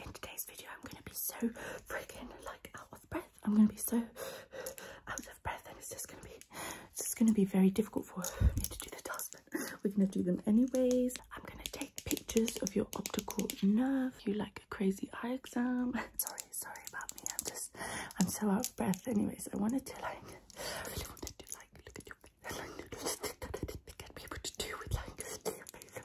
in today's video I'm gonna be so freaking like out of breath. I'm gonna be so out of breath and it's just gonna be it's just gonna be very difficult for me to do the task but we're gonna do them anyways. I'm gonna take pictures of your optical nerve. You like a crazy eye exam. sorry, sorry about me. I'm just I'm so out of breath anyways. I wanted to like I really wanted to like look at your face. I like, didn't be able to do with like your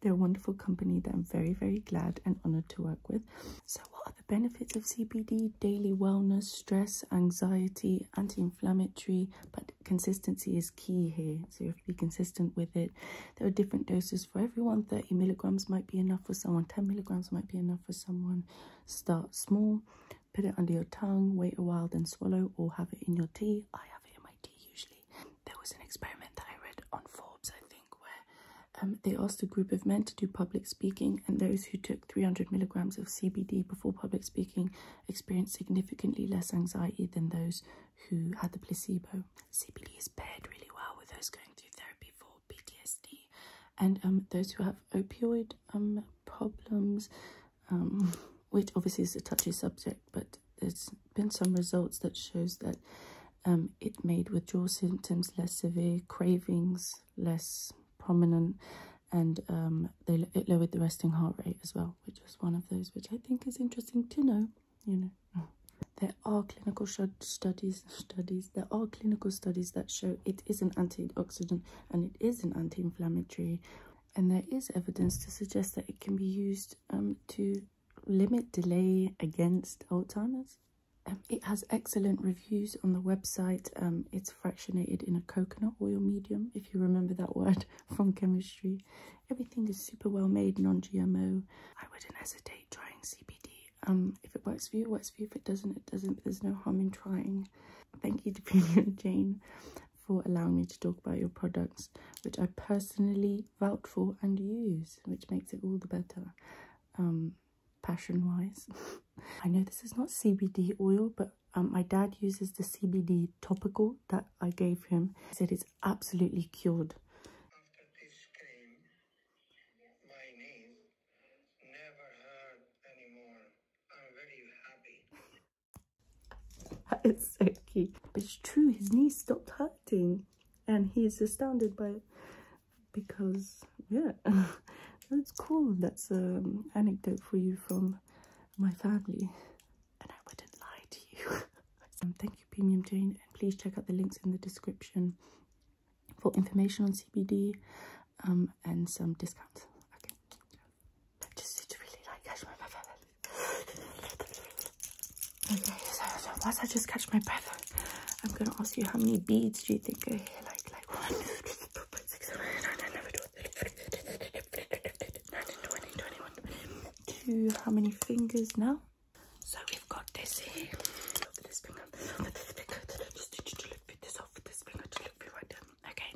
They're a wonderful company that I'm very, very glad and honored to work with. So what are the benefits of CBD? Daily wellness, stress, anxiety, anti-inflammatory, but consistency is key here. So you have to be consistent with it. There are different doses for everyone. 30 milligrams might be enough for someone. 10 milligrams might be enough for someone. Start small, put it under your tongue, wait a while, then swallow or have it in your tea. I have it in my tea usually. There was an experiment that I read on Forbes, I think, where um, they asked a group of men to do public speaking, and those who took 300 milligrams of CBD before public speaking experienced significantly less anxiety than those who had the placebo. CBD is paired really well with those going through therapy for PTSD, and um, those who have opioid um, problems, which obviously is a touchy subject, but there's been some results that shows that um, it made withdrawal symptoms less severe, cravings less prominent, and um, they, it lowered the resting heart rate as well, which was one of those, which I think is interesting to know, you know. There are clinical studies, studies, there are clinical studies that show it is an antioxidant and it is an anti-inflammatory and there is evidence to suggest that it can be used um, to limit delay against Alzheimer's. Um, it has excellent reviews on the website. Um, it's fractionated in a coconut oil medium, if you remember that word from chemistry. Everything is super well made, non-GMO. I wouldn't hesitate trying CBD. Um, if it works for you, works for you. If it doesn't, it doesn't. there's no harm in trying. Thank you to Premium Jane for allowing me to talk about your products, which I personally actually vouch for and use, which makes it all the better, um, passion-wise. I know this is not CBD oil, but um, my dad uses the CBD topical that I gave him. He said it's absolutely cured. It's so cute. But it's true, his knees stopped hurting um, and he's astounded by it because yeah that's cool that's an um, anecdote for you from my family and i wouldn't lie to you um, thank you premium jane and please check out the links in the description for information on cbd um, and some discounts okay Okay, so, so once I just catch my breath, I'm gonna ask you how many beads do you think are here? Like, like one, two, three, four, five, six, seven, eight, nine, eleven, twelve, thirteen, twenty-one. To how many fingers now? So we've got this here. Okay,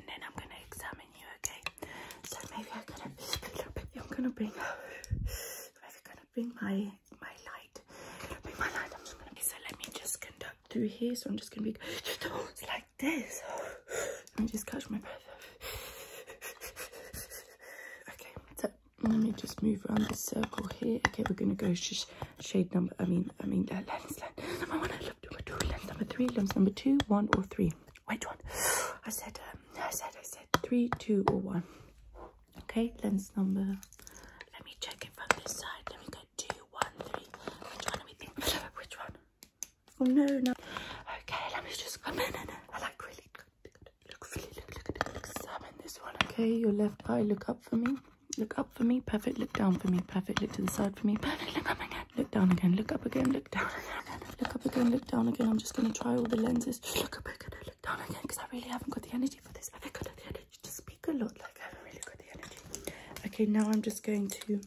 then I'm gonna examine you. Okay, so maybe I'm gonna, I'm gonna bring, bring my my light. Bring my light. I'm just gonna be so let me just conduct through here. So I'm just gonna be just like this. Let me just catch my breath. Okay, so let me just move around this circle here. Okay, we're gonna go shade number. I mean, I mean uh, lens, lens number one, lens number two, lens number three, lens number two, one or three. Which one? I said. Um, I said. I said said three, two, or one. Okay, lens number. Let me check it from this side. Let me go two, one, three. Which one are we thinking? Which one? Oh no, no. Okay, let me just come in and I like really good. Look, really look, look, look, look. Examine this one. Okay, your left eye. Look up for me. Look up for me. Perfect. Look down for me. Perfect. Look to the side for me. Perfect. Look up again. Look down again. Look up again. Look down again. Look up again. Look down again. I'm just gonna try all the lenses. Just look up we're gonna look down again because I really haven't got the energy for this. I haven't got the energy to speak a lot. Like I haven't really got the energy. Okay, now I'm just going to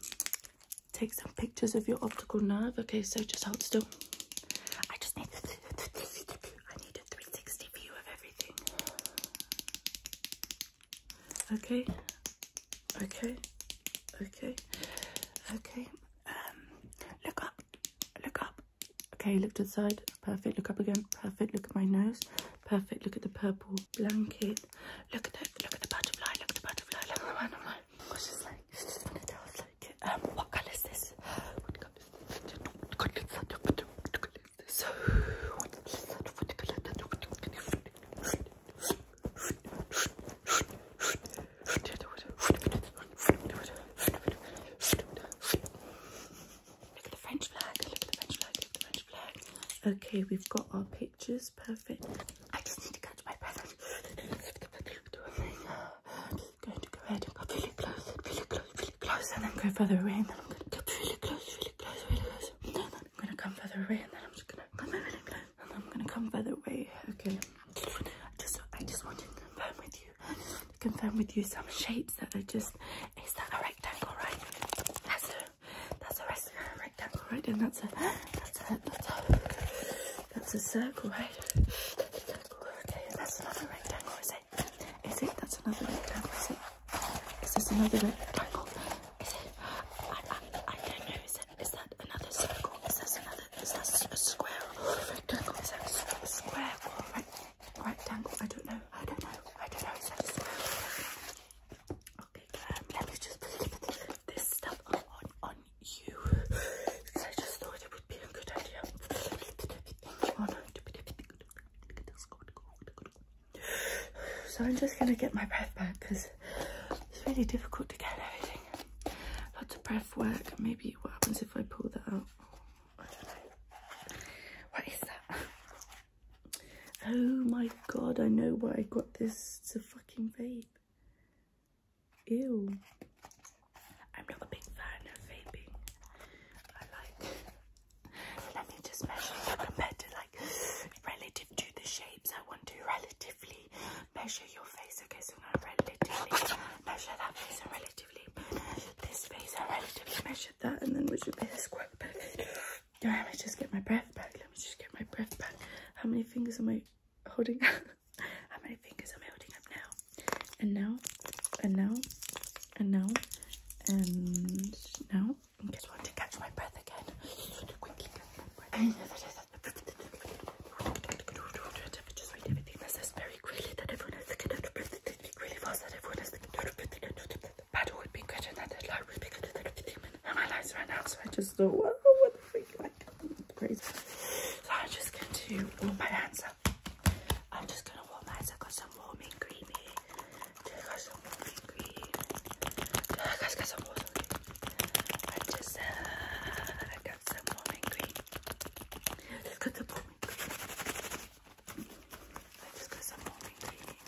take some pictures of your optical nerve. Okay, so just hold still. I just need to. I need a 360 view of everything. Okay. Okay. Okay. Okay. Um. Look up. Look up. Okay, look to the side. Perfect. Look up again. Perfect. Look at my nose. Perfect. Look at the purple blanket. Look at the look at the butterfly. Look at the butterfly. Look at the butterfly. I was just like, I was just gonna tell us like, um, what color is this? What color is this? What color is this? What color is this? What color is this? What color is this? What color is this? Okay, we've got our pictures. Perfect. I just need to catch my breath. I'm going to go ahead and go really close, really close, really close, and then go further away. And then I'm going to go really close, really close, really close. And then I'm going to come further away, and then I'm just going to come really close, and I'm going to come further away. Okay just I just want to confirm with you confirm with you some shapes that are just is that a rectangle right that's a that's a rectangle right and that's a that's a that's a that's a circle right that's a okay and that's another rectangle is it is it that's another rectangle is it is this another rectangle is it I, I, I don't know is it is that another circle is that another is that a square rectangle? Is that a square rectangle? I don't know. I don't know. I don't know. Is that a square Okay, um, let me just put this stuff on, on you. I just thought it would be a good idea. So I'm just going to get my breath back because it's really difficult to get everything Lots of breath work. Maybe what happens if I pull that out? What is that? Oh my god, I know why I got this. It's a fucking vape. Ew. I'm not a big fan of vaping. I like... Let me just measure compared to like relative to the shapes I want to, relative measure your face. Okay, so I'm relatively measure that face and relatively this face and relatively measure that, and then we would be this quite perfect. Alright, let me just get my breath back. Let me just get my breath back. How many fingers am I holding up? How many fingers am I holding up now? And now, and now, and now, and now. I just want to catch my breath again. Just read everything that says very quickly that everyone has to get out Speak really fast that everyone has to do. out of breath. Battle would be good, and that the library because of the demon. And my life's right now, so I just don't know what the freak like. Crazy. So i just going to warm my hands up. I'm just going to warm my hands up. I got some warming creamy. I got some warming cream. I got some warming cream. I just, uh, some lemon green. Let's get some lemon green. Let's get some lemon green.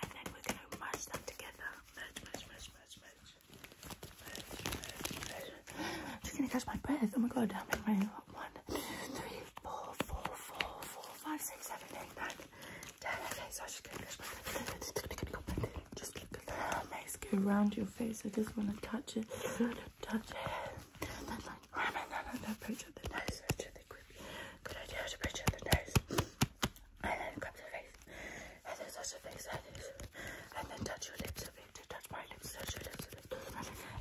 And then we're going to mash them together. Merge, merge, merge, merge, merge. Merge, merge, merge. I'm just going to catch my breath. Oh my god, how many Okay, so I should catch my breath. Just keep Look at that mace go around your face. I just want to touch it, touch it. And then like, oh, no, no, no, pinch at the nose, pinch at the grip. Good idea to pinch at the nose. And then grab the face. And then touch the face like this. And then touch your lips a bit. Touch my lips, touch your lips a bit.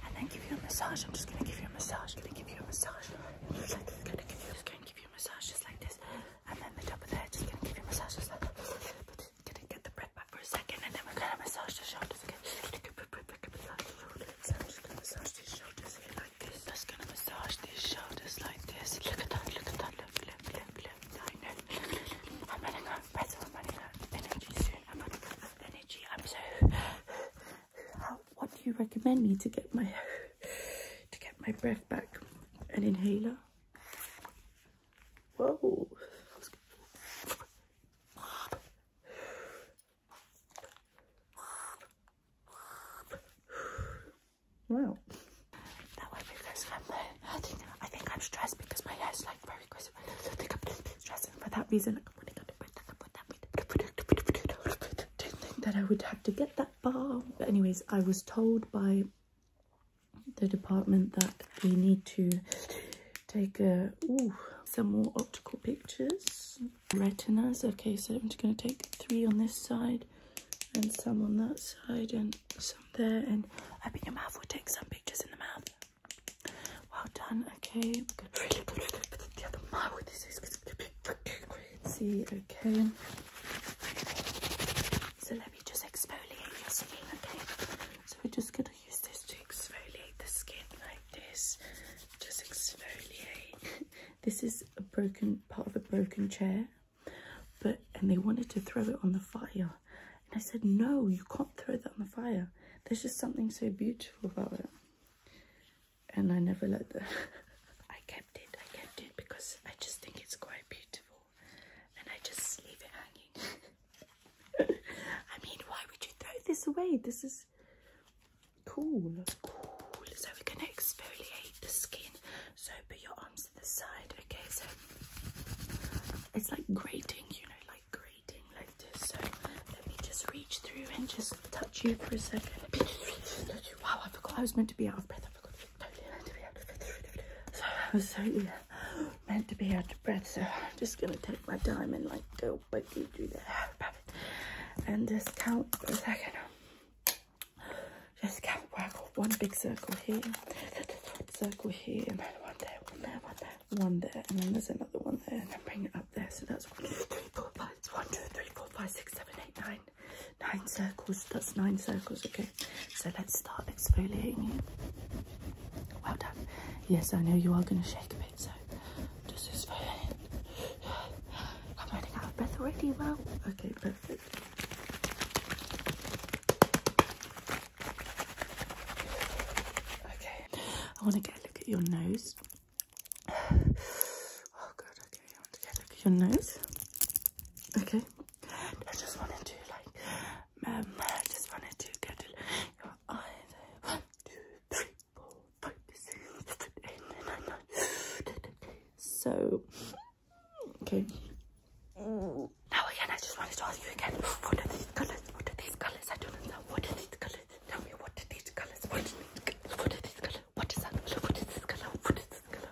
And then give you a massage. I'm just going to give you a massage. going to give you a massage. Just like this. Going to give you, just going to give you a massage just like this. And then the top of the head, just going to give you a massage just like that. But gonna get the breath back for a second and then we're gonna massage the shoulders again. Massage, massage these shoulders like this. massage these shoulders like this. Look at that, look at that, look, look, look, look. I know. I'm running out of breath, i energy energy. what do you recommend me to get my to get my breath back? An inhaler? Whoa. Wow. That would be because I'm, uh, think, I am stressed because my hair is like very crisp. I think I'm stressed and for that reason. I Didn't think that I would have to get that far. But anyways, I was told by the department that we need to take a, ooh, some more optical pictures. Retinas, okay, so I'm just going to take three on this side and some on that side and some there. And open your mouth, we'll take some pictures in the mouth. Well done, okay. see, okay. So let me just exfoliate your skin, okay? So we're just gonna use this to exfoliate the skin like this. Just exfoliate. this is a broken part of a broken chair, but and they wanted to throw it on the fire. And I said, no, you can't throw that on the fire. There's just something so beautiful about it. And I never let them. I kept it, I kept it because I just think it's quite beautiful and I just leave it hanging. I mean, why would you throw this away? This is cool. So we're gonna exfoliate the skin. So put your arms to the side. Okay, so it's like grating, you know, like grating like this. So let me just reach through and just touch you for a second. Wow, I forgot I was meant to be out of breath totally meant to be out of breath. So I was totally meant to be out of breath. So I'm just gonna take my time and like go quickly do that. And just count for a second. Just count. Work off one big circle here, circle here, and then one there, one there, one there, one there, and then there's another one there, and then bring it up there. So that's one, two, three, four, five. It's one, two, three, four, five, six, seven, eight, nine. Nine circles. That's nine circles. Okay. So let's start exfoliating you. Well done. Yes, I know you are going to shake a bit, so just exfoliate. I'm running out of breath already. Well, okay, perfect. Okay, I want to get a look at your nose. Oh god, okay, I want to get a look at your nose. Okay, I just wanted to like, um, I just wanted to go to your So, okay. Now again, I just wanted to ask you again. What are these colors? What are these colors? I don't know. What are these colors? Tell me what are these colors? What are these colors? What is that color? What is this color? What is this color?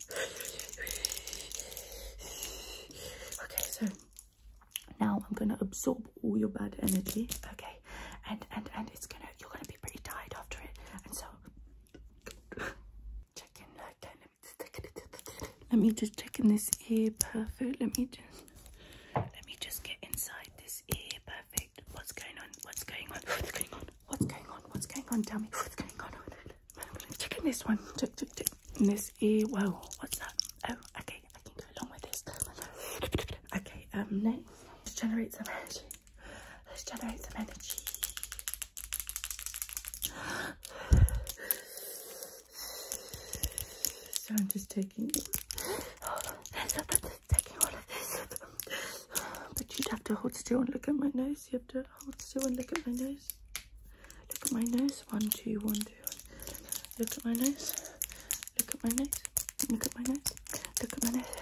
Okay, so now I'm gonna absorb all your bad energy, okay? And and and it's gonna you're gonna be pretty tired after it. And so check in like that. Let me just check in this ear perfect. Let me just let me just get inside this ear perfect. What's going on? What's going on? What's going on? What's going on? What's going on? What's going on? Tell me what's going on. I'm gonna check in this one. Check, check, check. And this ear. Whoa, what's that? Oh, okay. I can go along with this. Okay, um, next, let's generate some energy. Let's generate some energy. So I'm just taking all taking all of this. But you'd have to hold still and look at my nose. You have to hold still and look at my nose. Look at my nose. One, two, one, two. Look at my nose. Look at my nose. Look at my nose. Look at my nose.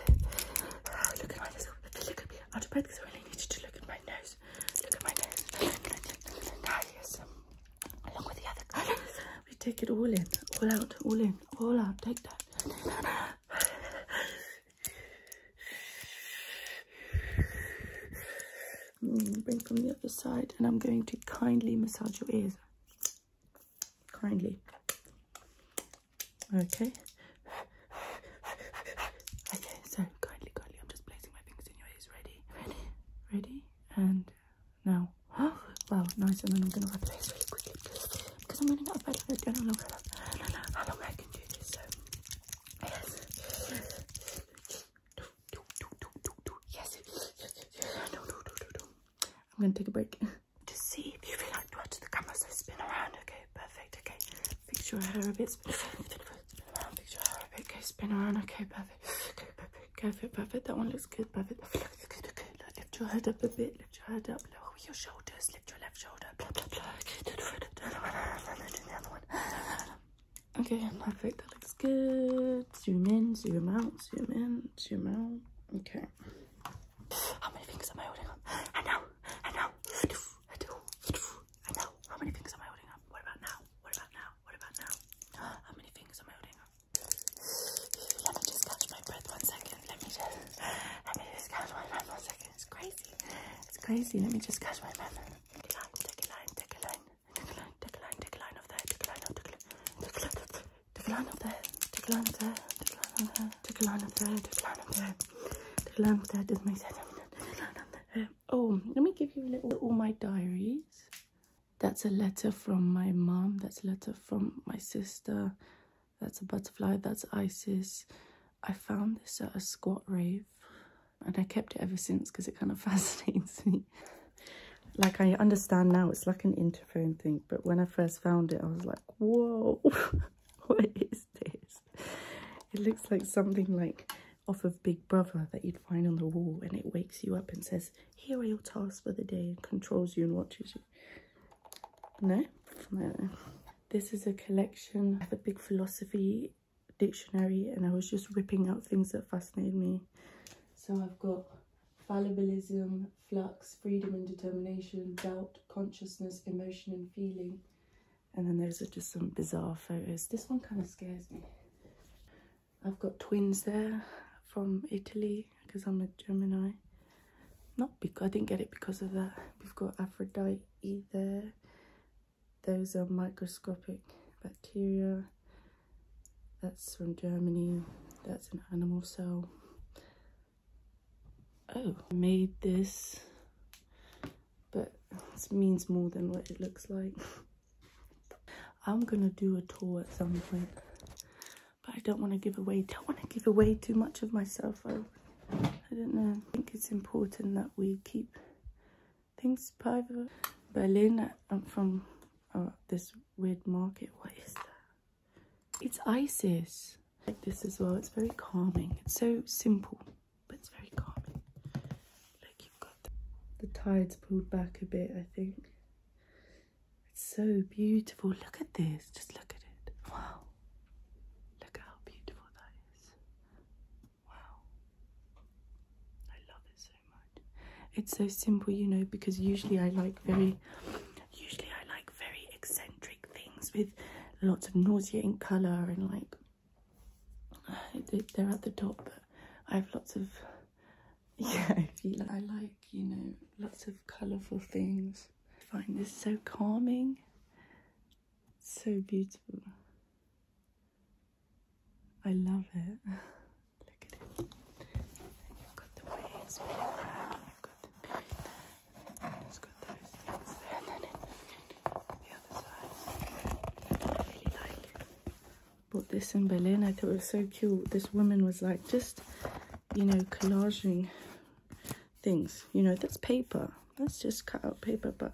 Look at my nose. Look at me. Out of bed because I really need you to look at my nose. Look at my nose. Now, ah, yes. Along with the other. We take it all in. All out. All in. All out. Take that. Mm, bring from the other side, and I'm going to kindly massage your ears. Kindly. Okay. Okay, so kindly, kindly, I'm just placing my fingers in your ears. Ready, ready, ready, and now. Oh, wow, nice. And then I'm going to wrap the ears really quickly because, I'm running out of bed. I don't know how long, I how long I can do this. Yes. No, no, no, no, no. I'm gonna take a break. To see if you feel like to watch the camera, so spin around. Okay, perfect. Okay, fix your hair a bit. Spin, around. Fix your hair a bit. Okay, spin around. Okay, perfect. Okay, perfect. Perfect. Perfect. That one looks good. Perfect. That looks good. Okay, lift your head up a bit. Lift your head up. Lower your shoulders just lift your left shoulder. Blah, blah, blah. Okay, do the one. Do the other one. Okay, perfect. That looks good. Zoom in, zoom out, zoom in, zoom out. Okay. How many fingers am I holding up? And now, and now, and now. How many fingers am I holding up? What about now? What about now? What about now? How many fingers am I holding up? Let me just catch my breath one second. Let me just, let me just catch my breath one second. It's crazy. It's crazy. Let me just catch my breath. Take a line, take a line, take a line. Take a line, take a line, take a line of there, take a line of there, take a line of there, take a line of there, take a line of there, take a line of there, take a line of there, take a line of there, doesn't make sense. Oh, let me give you little, all my diaries. That's a letter from my mom. That's a letter from my sister. That's a butterfly. That's Isis. I found this at a squat raid and I kept it ever since because it kind of fascinates me. like I understand now it's like an interphone thing but when I first found it I was like whoa what is this? It looks like something like off of Big Brother that you'd find on the wall and it wakes you up and says here are your tasks for the day and controls you and watches you. No? No. This is a collection. I have a big philosophy dictionary and I was just ripping out things that fascinated me. So I've got fallibilism, flux, freedom and determination, doubt, consciousness, emotion and feeling. And then there's just some bizarre photos. This one kind of scares me. I've got twins there from Italy because I'm a Gemini. Not because I didn't get it because of that. We've got Aphrodite either. Those are microscopic bacteria. That's from Germany. That's an animal cell. Oh, made this, but it means more than what it looks like. I'm gonna do a tour at some point, but I don't want to give away. Don't want to give away too much of myself. I I don't know. I think it's important that we keep things private. Berlin, I'm from uh, this weird market. What is that? It's ISIS. Like this as well. It's very calming. It's so simple, but it's very calming. Like you've got the, tide's pulled back a bit, I think. It's so beautiful. Look at this. Just look at it. Wow. Look how beautiful that is. Wow. I love it so much. It's so simple, you know, because usually I like very usually I like very eccentric things with lots of nauseating colour and like they're at the top but I have lots of yeah I like you know lots of colourful things I find this so calming so beautiful. I love it. Look at it. got the waves being got the beard, got those and then the other side. I really like it. Bought this in Berlin. I thought it was so cute. This woman was like just, you know, collaging things. You know, that's paper. That's just cut out paper, but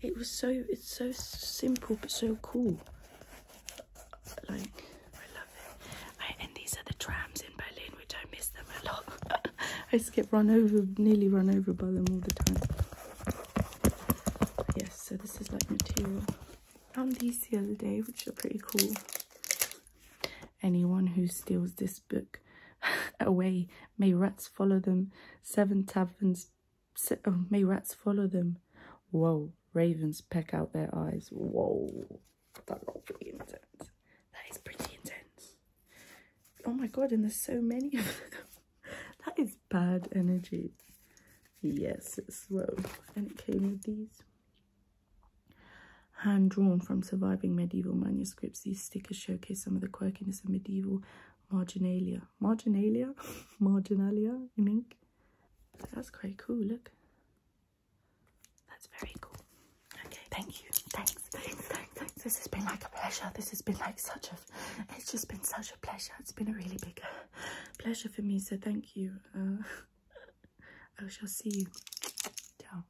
it was so, it's so simple, but so cool. Like, I love it. and these are the trams in Berlin, which I miss them a lot. I just run over, nearly run over by them all the time. Yes, so this is like material. Found these the other day, which are pretty cool. Anyone who steals this book away May rats follow them. Seven taverns. oh, may rats follow them. Whoa. Ravens peck out their eyes. Whoa. That got intense. That is pretty intense. Oh my god, and there's so many of them. that is bad energy. Yes, it's rogue. And it came with these hand-drawn from surviving medieval manuscripts. These stickers showcase some of the quirkiness of medieval marginalia. Marginalia? marginalia in mean? That's quite cool, look. That's very cool. Okay, thank you. Thanks, thanks, thanks, thanks. This has been like a pleasure. This has been like such a, it's just been such a pleasure. It's been a really big uh, pleasure for me, so thank you. Uh, I shall see you. Ciao.